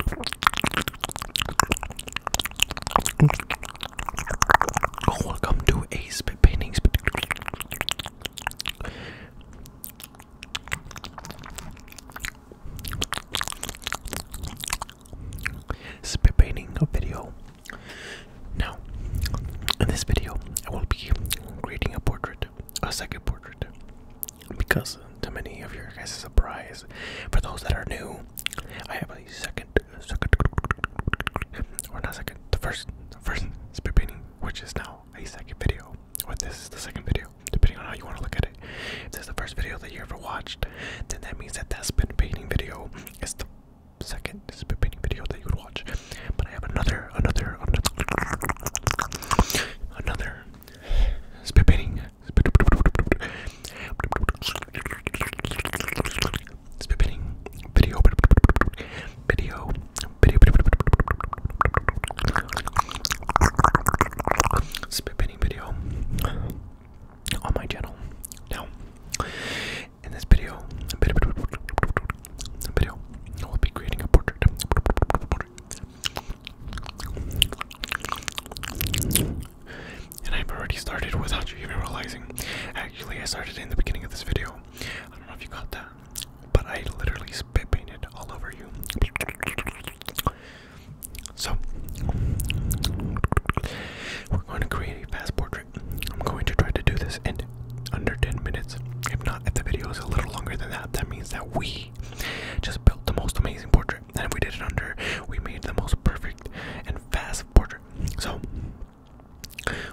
Oh, welcome to a spit painting spit. painting video. Now, in this video, I will be creating a portrait, a second portrait because to many of your guys' surprise, for those that are new, I have a second, second, or not second, the first, the first spit painting, which is now a second video, or this is the second video, depending on how you want to look at it. If this is the first video that you ever watched, then that means that that spit painting video is the second spit painting video that you would watch. But I have another, another, another, another spit painting Spitting video, video, video, spinning video on my channel. Now, in this video, video, I will be creating a Portrait. And I've already started without you even realizing. Actually, I started in the beginning of this video. I don't know if you caught that, but I literally spit painted all over you. So, we're going to create a fast portrait. I'm going to try to do this in under 10 minutes. If not, if the video is a little longer than that, that means that we just built the most amazing portrait. And if we did it under, we made the most perfect and fast portrait. So,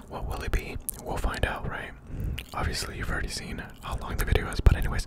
what will it be? We'll find out, right? Obviously, you've already seen how long the video is, but, anyways.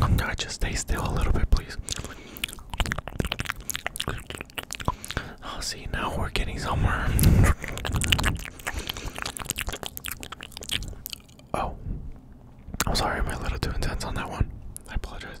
I'm just stay still a little bit, please. Oh, see, now we're getting somewhere. oh, I'm sorry, I'm a little too intense on that one. I apologize.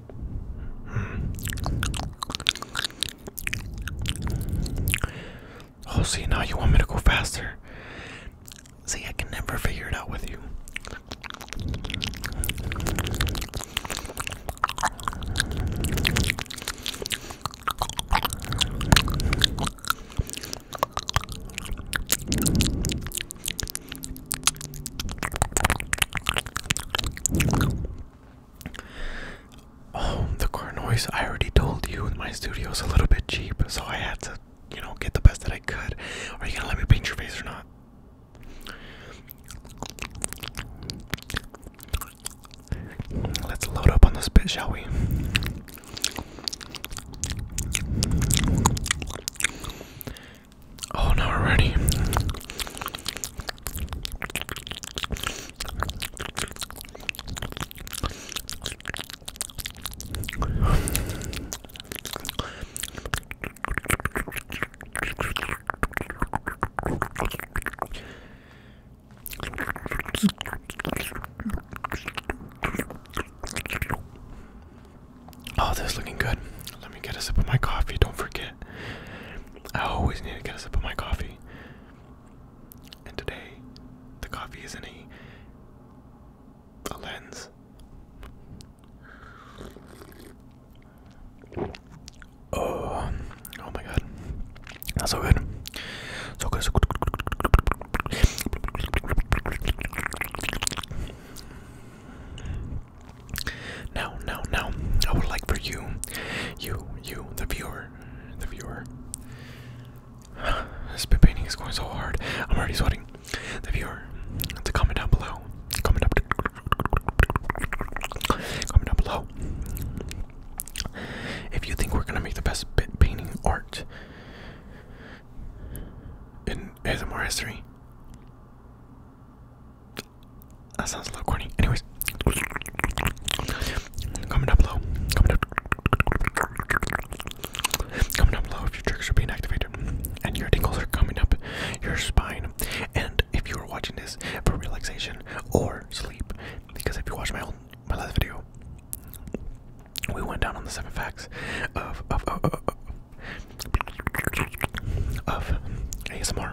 Oh, see, now you want me to go faster. See, I can never figure it out with you. Oh, the car noise. I already told you my studio is a little bit cheap, so I had to, you know, get the best that I could. Are you gonna let me paint your face or not? Let's load up on this bit, shall we? Oh, now we're ready. Oh, this is looking good. Let me get a sip of my coffee. Don't forget. I always need to get a sip of my coffee. And today, the coffee isn't a, lens. Oh, oh my god. That's so good. So good. So good. Now, now, now, I would like for you, you, you, the viewer, the viewer. this bit painting is going so hard. I'm already sweating. The viewer, to comment down below. Comment up. Comment down below. If you think we're gonna make the best bit painting art in ASMR history. That sounds a little corny. Anyways, comment down below. Comment down, below if your triggers are being activated and your tingles are coming up your spine. And if you are watching this for relaxation or sleep, because if you watch my own my last video, we went down on the seven facts of of of, ASMR.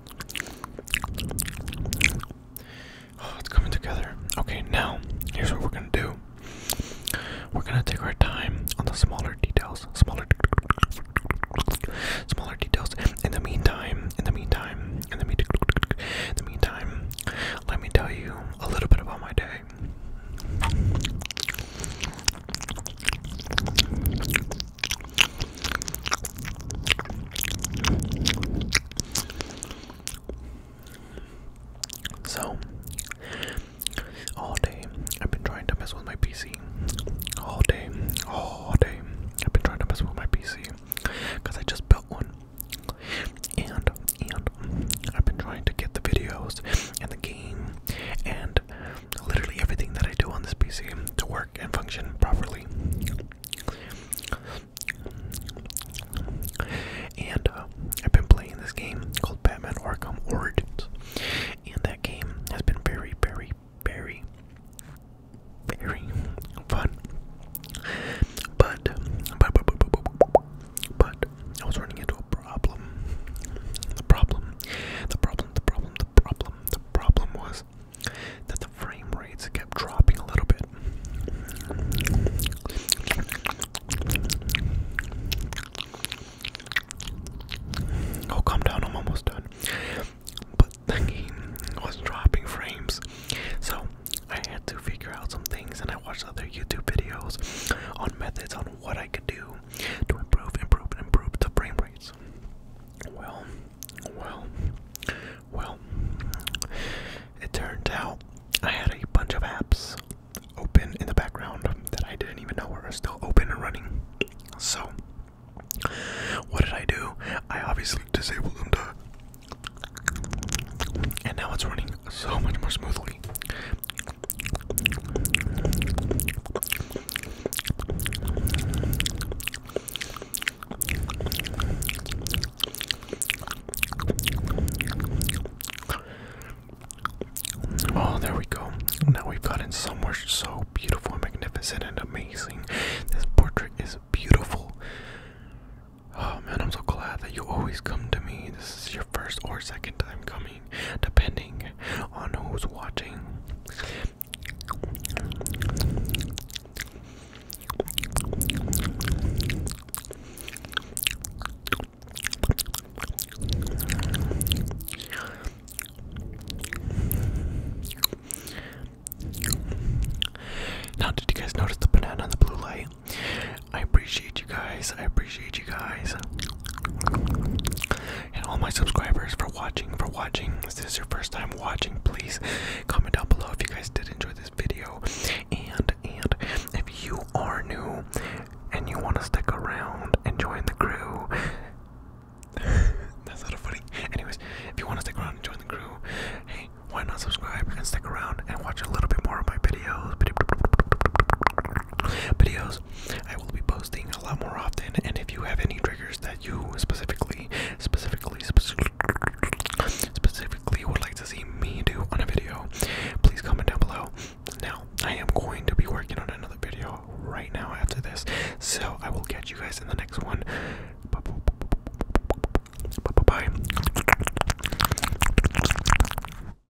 Oh, it's coming together. Okay, now here's what we're gonna do. We're gonna take our time on the smaller details, smaller, smaller details. In the meantime, in the meantime, in the, me in the meantime, let me tell you a little bit about my day. So, all day I've been trying to mess with my PC. All day, all day I've been trying to mess with my PC because I just built one. And, and I've been trying to get the videos and the game and literally everything that I do on this PC to work and function properly. And uh, I've been playing this game called Batman Arkham Origins, and that game has been very, very, very, very fun. But, but, but, but, but, but I was running into a problem. The problem, the problem, the problem, the problem. The problem was that the frame rates kept dropping a little bit. Oh, calm down, I'm almost done. But the was dropping frames. So I had to figure out some things and I watched other YouTube videos on methods on what I could do to improve, improve, and improve the frame rates. Well, well, well. It turned out I had a bunch of apps open in the background that I didn't even know were still open and running. So, what did I do? I obviously disabled them And now it's running so much more smoothly. Oh, there we go. Now we've gotten somewhere so beautiful magnificent and amazing. This portrait is beautiful. Oh man, I'm so glad that you always come to me. This is your first or second time coming depending on who's watching. Now, did you guys notice the banana and the blue light? I appreciate you guys. I appreciate guys and all my subscribers for watching. For watching, if this is your first time watching, please comment down below if you guys did enjoy this video. And and if you are new and you want to stick around and join the crew. That's a not funny. Anyways, if you want to stick around and join the crew, hey, why not subscribe and stick around and watch a little bit more of my videos? Videos I will be posting a lot more often. And if you have any triggers that you specifically, specifically, specifically would like to see me do on a video, please comment down below. Now, I am going to be working on another video right now after this, so I will catch you guys in the next one. Bye bye. bye, -bye.